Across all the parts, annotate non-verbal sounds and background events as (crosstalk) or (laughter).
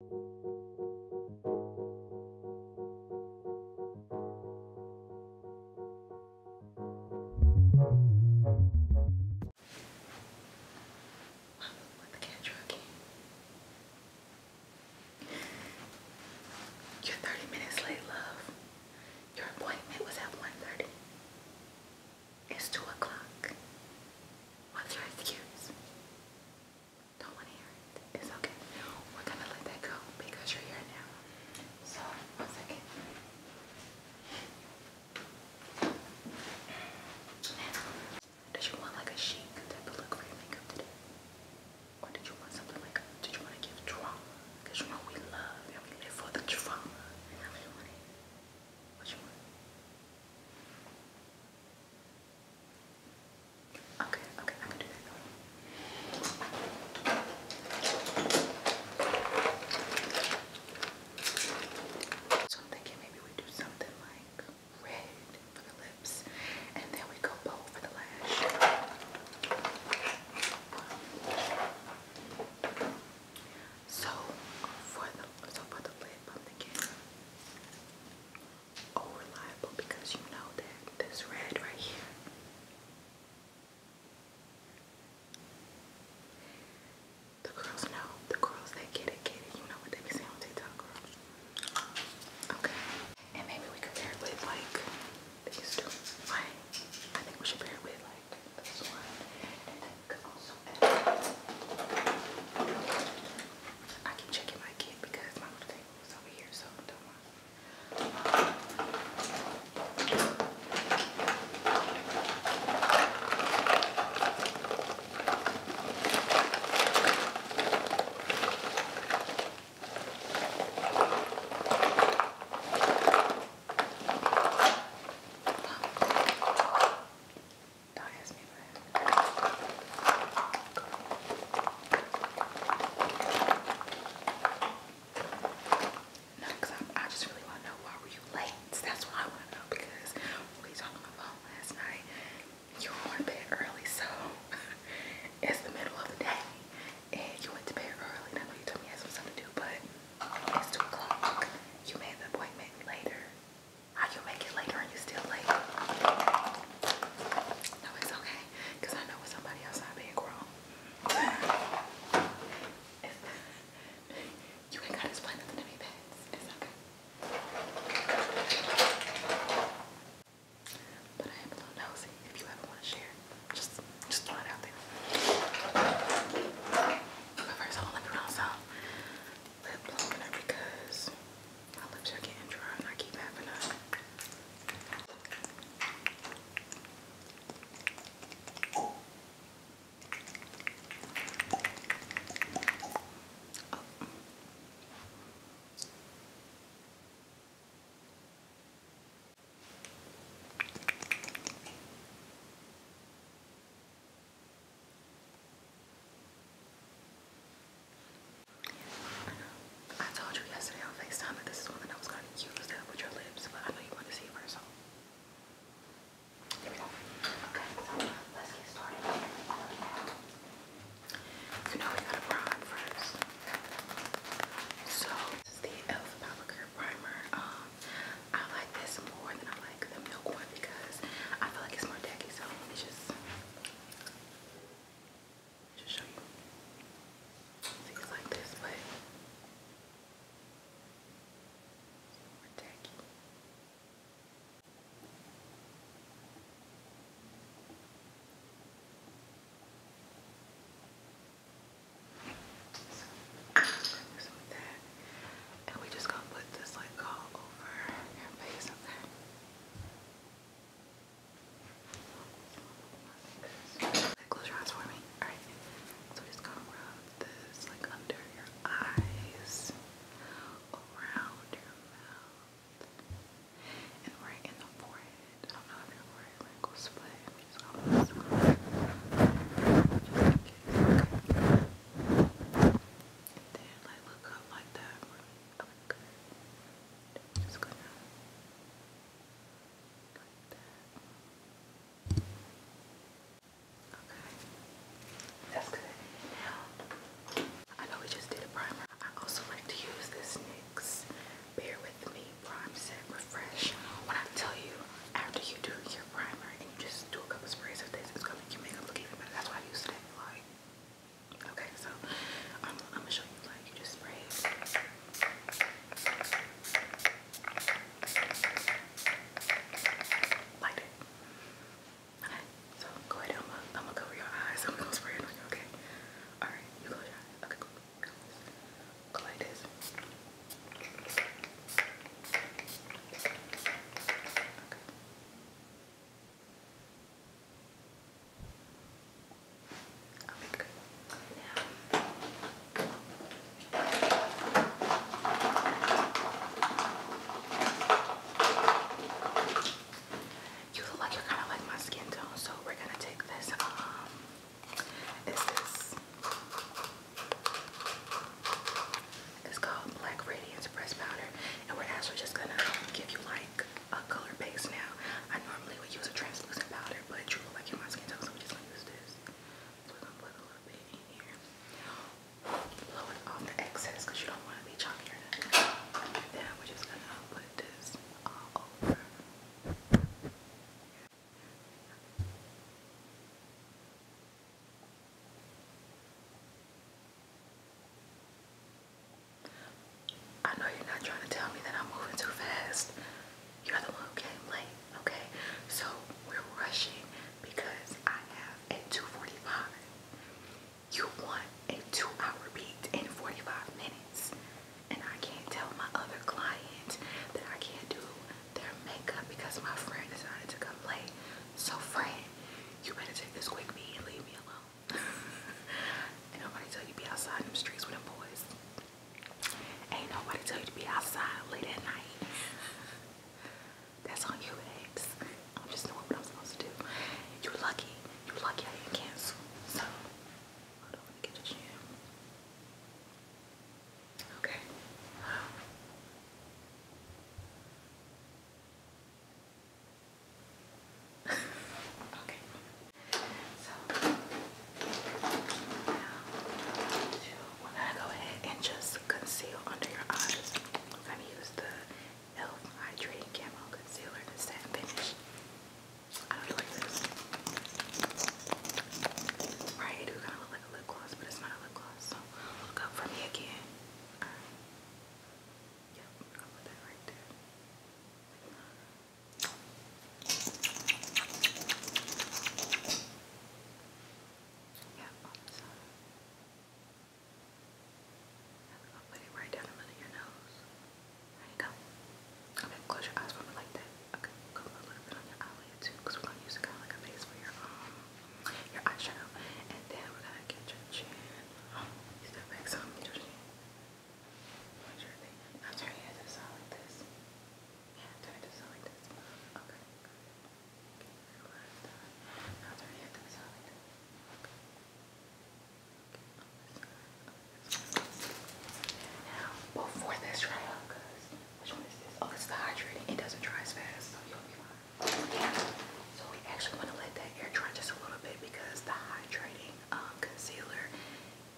You're 30 minutes late, love. Your appointment was at 1.30. It's 2 o'clock. What's your excuse? Don't want to hear it. It's okay. We're going to let that go because you're here now. So, one second. Did you want like a chic type of look for your makeup today? Or did you want something like, did you want to give drama? Because you know we love we live for the drama. What you want? Okay, So I'm thinking maybe we do something like red for the lips and then we go bold for the lash. So for the so for the lip I'm thinking all reliable because you know that this red right here the girls know. The girls that get it, get it. You know what they be saying on TikTok, girl. Okay. And maybe we could with like these two. Right? I think we should pair with like this one. And then we could also I keep checking my kid because my little table was over here, so don't mind. No, because I, I just really want to know why were you late? That's what I want to know because we talked on the phone last night. You were to bed early, so (laughs) it's the middle of the day. And you went to bed early. I know you told me you had some stuff to do, but it's 2 o'clock. You made the appointment later. How you make it later and you still late? No, it's okay. I know it's somebody else out being grown. (laughs) you ain't got to explain nothing to me, Pets. It's okay. But I am a little nosy. If you ever want to share, just just throw it out there. But first, I want to let lip blower because my lips are getting dry and I keep having to I told you yesterday on FaceTime that this is one I was going to use with your lips, but I know you want to see it first, so here we go. Okay, so let's get started. You know we gotta prime first. So this is the e.l.f. Powder Primer. Um, I like this more than I like the milk one because I feel like it's more tacky, so let just just show you. it's like this, oh, but it's more tacky. So, this with that, and we just gonna put this like all over your face, okay? Close your eyes for me. Alright. So just gonna this like under your eyes, around your mouth, and right in the forehead. I don't know if your forehead wrinkles, but just gonna Okay. And then like look up like that. Oh my i That's good. Now I know we just did a primer. I also like to use this NYX Bear With Me Prime Set Refresh. When I tell you after you do your primer and you just do a couple sprays of this, it's gonna make your makeup look even better. That's why I use it Okay, so um, I'm gonna show you like you just spray it. Like it. Okay, so go ahead. i I'm gonna cover your eyes. (laughs) I'm gonna spray it on you. Okay. All right, you close your eyes. Okay, go. Go like this. Okay. You look like you're kind of like my skin tone, so we're gonna take this. Um, it's this. It's called Black Radiance Press Powder, and we're actually just gonna give you like a color base now. I normally would use a translucent powder, but Drew look like in skin tone, so I'm just gonna use this. So i gonna put a little bit in here. Blow it the excess you don't want to be chalky Then we're just gonna put this all over. I know you're not trying to tell me that I'm moving too fast. You're the one who came late, okay? So we're rushing because I have a 245. You want a two-hour beat and 45 minutes. And I can't tell my other client that I can't do their makeup because my friend decided to come late. So friend, you better take this quick beat and leave me alone. Ain't nobody tell you to be outside in them streets with them boys. Ain't nobody tell you to be outside late at night. That's on you, ex. I'm just doing what I'm supposed to do. you lucky. you lucky I did cancel. So, hold on, let get the gym. Okay okay. So gonna go ahead and just conceal under your eyes. We're use the Elf Hydrating Camo Concealer in Satin Finish. I do like this. Right, it do kind of look like a lip gloss, but it's not a lip gloss. So look up for me again. Yep, put that right there. Yep, put it right down the middle of your nose. There you go. Okay, close your eyes for me like that. Okay, go a little bit on your eyelid too, we're gonna use it kind of like a base for your um, your eyeshadow. And then we're gonna get your chin Oh, got back some Judy. Now turn your head to the side like this. Yeah, turn it to the this. Okay. Okay, relax. Now turn this. Okay. Now, before this dry which one is this? Oh, it's the hydrating. It doesn't dry as fast, so you'll be fine. So we actually want to let that air dry just a little bit because the hydrating um, concealer,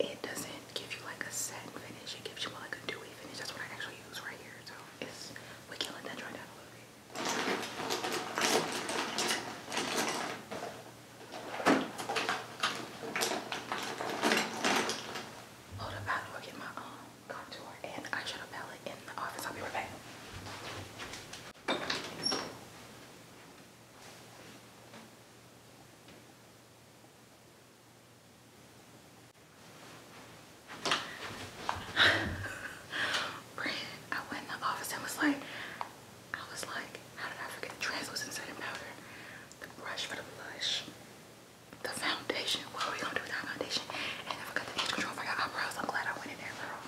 it doesn't give you like a set finish. It gives you more like a dewy finish. That's what I actually use right here. So we can let that dry down a little bit. Hold up, I'll go get my um, contour and eyeshadow palette in the office. I'll be right back. (sighs) Brad, I went in the office and was like, I was like, how did I forget the translucent setting powder, the brush for the blush, the foundation. What are we gonna do without foundation? And I forgot the age control for your eyebrows. I'm glad I went in there, girl.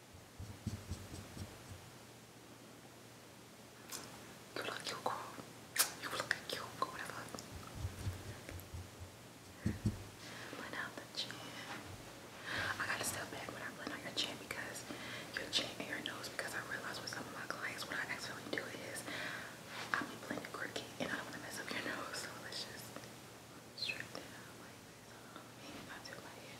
You look cute, girl. You look cute, go whatever. Blend out the chin. I gotta step back when I blend out your chin because your chin and your nose because I realize with some of my clients what I actually do is I'll blending crooked and I don't want to mess up your (laughs) nose so let's just I do my hair.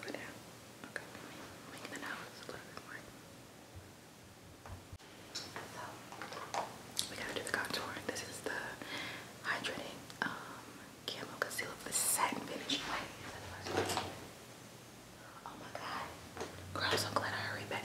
Go down. Okay, we gotta do the contour. This is the hydrating um, concealer for satin finish. Oh my god. Girl, I'm so glad I hurried back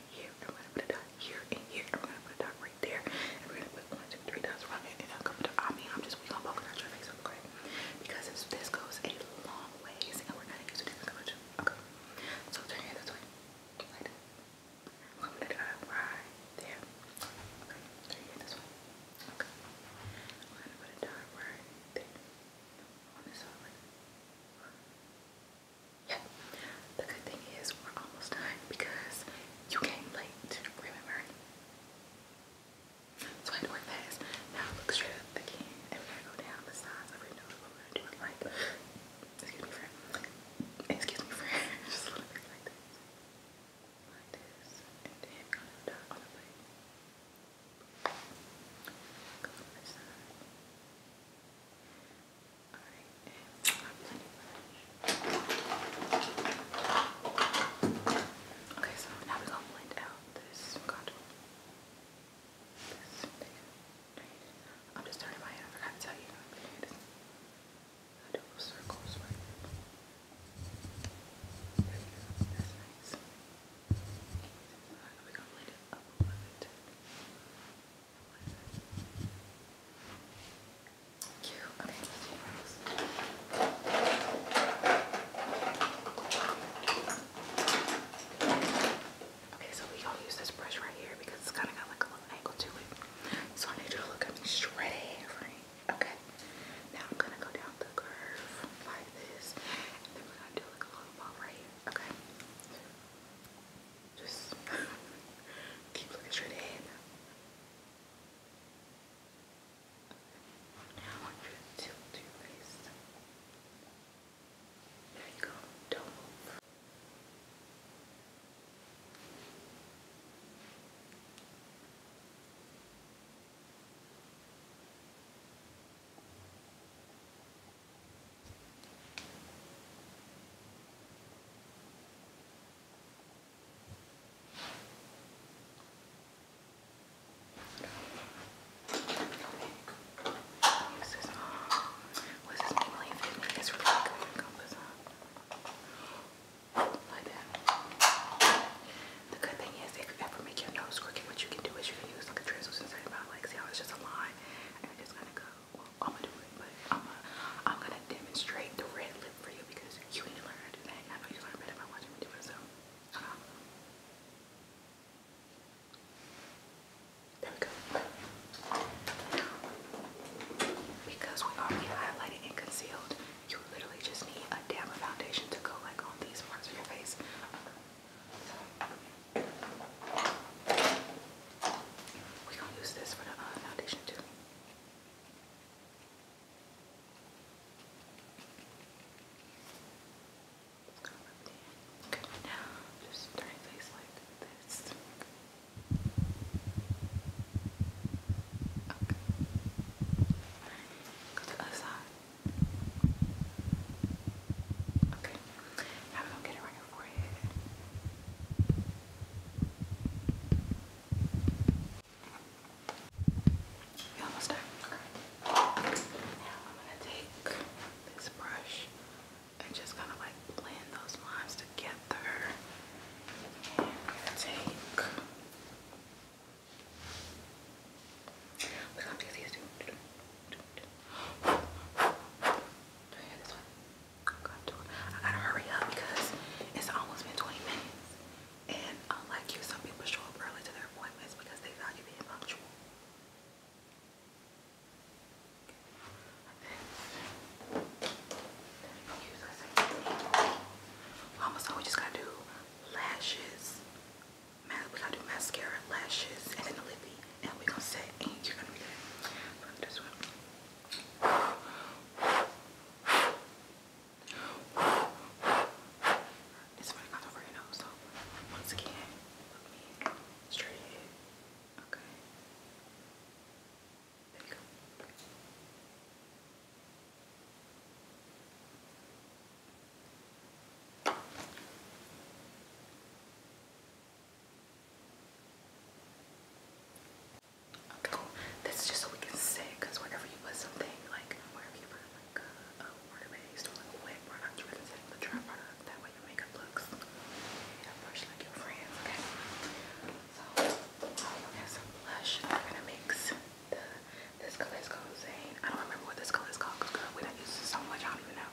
and here, and we gonna put a dot here and here, and we gonna put a dot right there, and we're gonna put one, two, three dots around it, and I'll cover the, I mean, I'm just, we gonna poke it your face, okay? Because this, this goes a long ways, and we're gonna use a different okay? So turn your head this way, I'm gonna dot right there, okay? Turn your this way, okay? We're gonna put a dot right there, yeah. The good thing is we're almost done because you came late, remember? So I had to fast. Now look straight again and we're to go down the sides of your nose. we're gonna do is like excuse me friend. Excuse me friend. (laughs) Just a little bit like this. Like this. And then we're on the plate. Go on this side. Okay, so now we're gonna blend out this contour. I'm just turning my head. forgot to tell you. I circles right there. There we go. That's nice. we're gonna blend it up a little bit. Cute. Okay, so we going use this brush right here because it's kind of got like a little angle to it. So I need you to look at me straight, Okay. Now I'm gonna go down the curve like this, then we're gonna do like a little ball right here. Okay. Just (laughs) keep looking straight ahead. Now I There you go. Don't move. This what's this Maybelline Fit Me? It's really good. Compass, huh? Like that. The good thing is, if you ever make your nose crooked, what you can do is you can use like a drizzle since like, see how it's just a line, and it's gonna go. I'm gonna do it, but I'm gonna, demonstrate the red lip for you because you need to learn how to do that. I know you learn better by watching me do it, so. There we go. because we already highlighted and concealed, you literally just need a damn foundation to go like on these parts of your face. We're gonna use this for the uh, foundation too. Okay, now just turn your like this. Okay. Go to the other side. Okay. Now we're get it right your forehead. almost done. Now I'm gonna take this brush and just kind of like blend those lines together. And take. I gotta hurry up because it's almost been 20 minutes. And unlike um, you, some people show up early to their appointments because they value being punctual. Mama, so we just gotta do lashes. We gotta do mascara, lashes, and then the lippy and we're gonna say, and you're gonna be like, fuck this one. It's funny I'm right so once again, look me straight Okay. There you go. Okay, This is just so we can say it, because whenever you put something, like wherever you put like a, water based or like a wet product, you can sit in the dry product. That way your makeup looks yeah, fresh like your friends, okay? So, I have some blush. I'm gonna mix the, this color is called Zane. I don't remember what this color is called, because girl, we don't use it so much, I don't even know.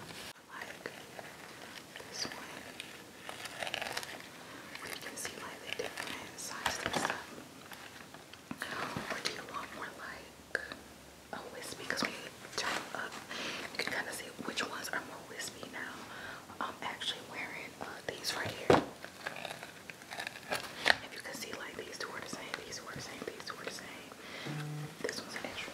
like this one. You can see like the different sizes and stuff. Or do you want more like a wispy? when you turn up, you can kind of see which ones are more wispy now. I'm actually wearing these right here. If you can see like these two are the same, these two are the same, these two are the same. This one's extra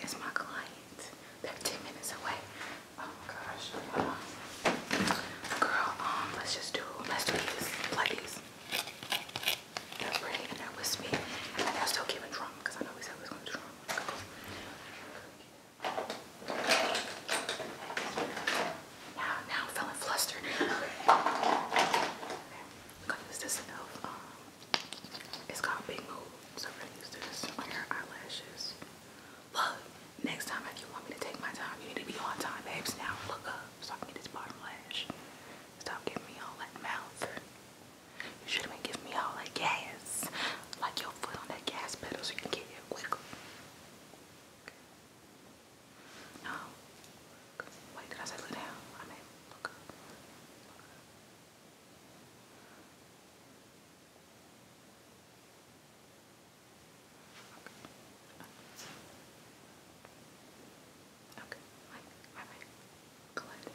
it's my client. They're 10 minutes away. Oh my gosh. Girl, um, let's just do, let's do these. Like these. pretty and they wispy. And they're still giving drama because I know we said we was going to do drama. Now, now I'm flustered. I'm (laughs) going this um, it's called Big Move, so I'm gonna use this on your eyelashes. Look, next time if you want me to take my time, you need to be on time, babes. Now look up so I this bottom lash. Stop giving me all that mouth. You should have been giving me all that gas. Like your foot on that gas pedal so you can get here quicker. Okay. No. Wait, did I say look down? I Okay, like, I mean, glad. Okay.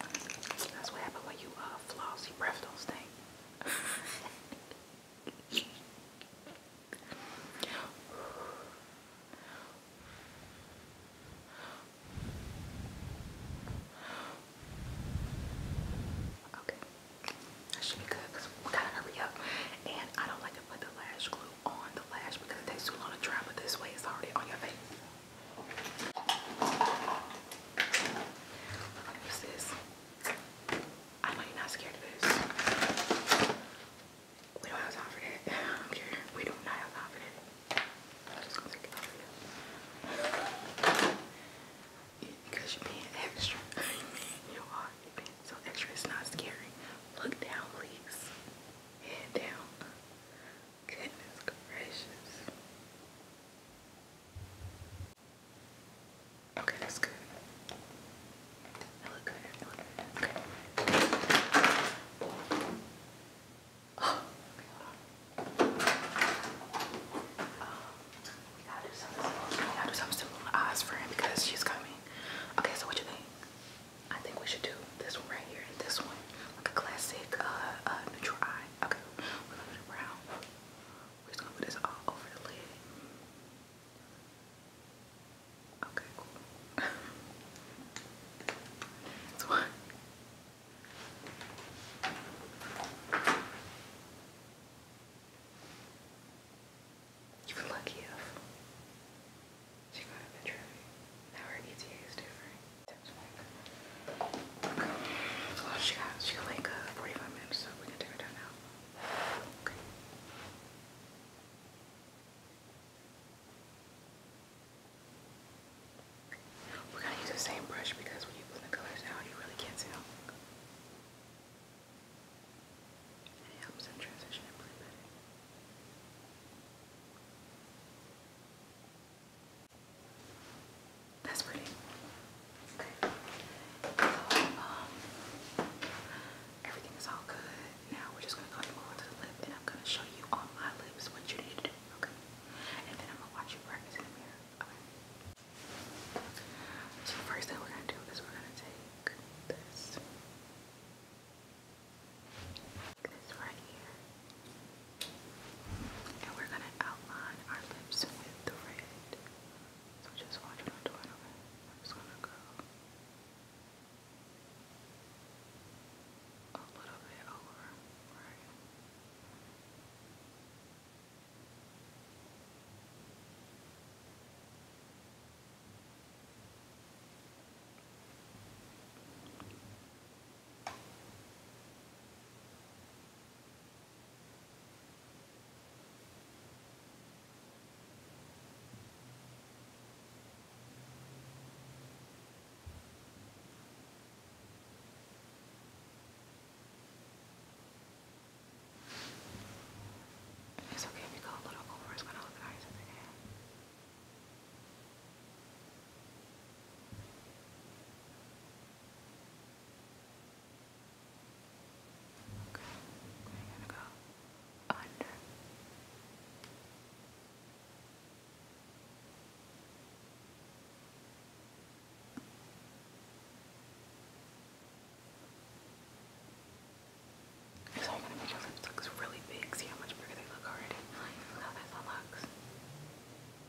That's what happens when you uh, floss. Your breath don't stink. Okay, that should be good because we gotta hurry up. And I don't like to put the lash glue on the lash because it takes too long to dry, but this way it's already on your face. Use this. I am you're not scared of this. We don't have time for that. I don't We do not have to take it Because you're being extra. you are. being so extra. It's not scary. Look down, please. down. Goodness gracious. Okay, that's good. I look good. I look good. Okay. Oh, Um, gotta do something gotta do something simple on eyes for him because she's coming. Okay, so what you think? I think we should do this one right here and this one. Like a classic uh, uh, neutral eye. Okay, we're gonna do the brown. We're just gonna put this all over the lid. Okay, cool. (laughs) That's one. You've lucky She got a betrayal. Now her ETA is different. Oh, she got, she got like 45 minutes, so we can take her down now. Okay. We're gonna use the same brush because when you put colors out, you really can't tell. And it helps in transition and pretty better. That's pretty. Okay. So, um, everything is all good. Now we're just gonna go ahead and the lip, and I'm gonna show you on my lips what you need to do. Okay. And then I'm gonna watch you practice in the mirror. Okay. So first thing we're gonna do is we're gonna take this this right here. And we're going to outline our lips with the red. So just watch what I'm doing, I'm just going to go a little bit over, right? Okay, it's okay if you go a little over, it's gonna look nice in the end. Okay, I'm gonna go under. So I'm gonna make your lips look really big. See how much bigger they look already. Like, how that looks.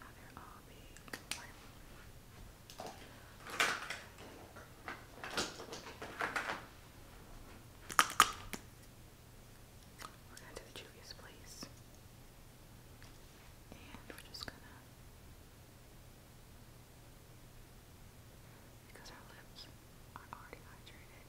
Another RB We're going to the Juvia's place. And we're just gonna because our lips are already hydrated.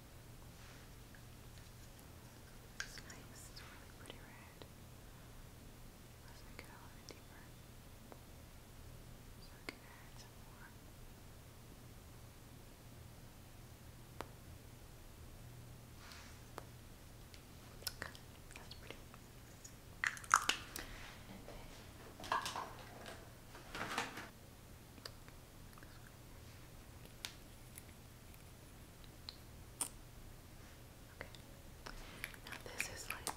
It's nice, it's really pretty red. Let's make it a little bit deeper. So I that's pretty. Okay. Now this is like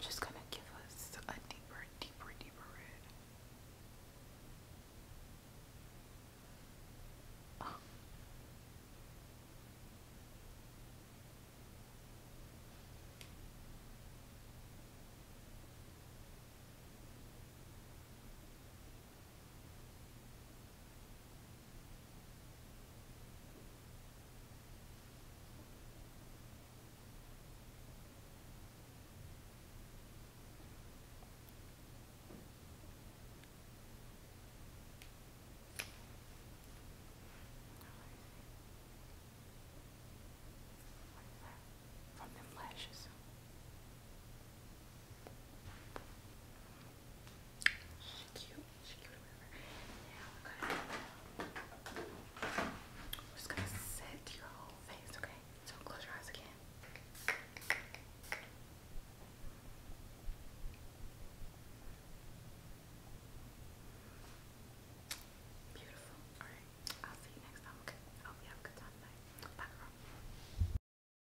just gonna give us a deeper, deeper, deeper red. From them lashes. She's cute. She's cute. Now I'm I'm just gonna set your whole face, okay? So close your eyes again. Beautiful. Alright. I'll see you next time. Okay. hope you have a good time Bye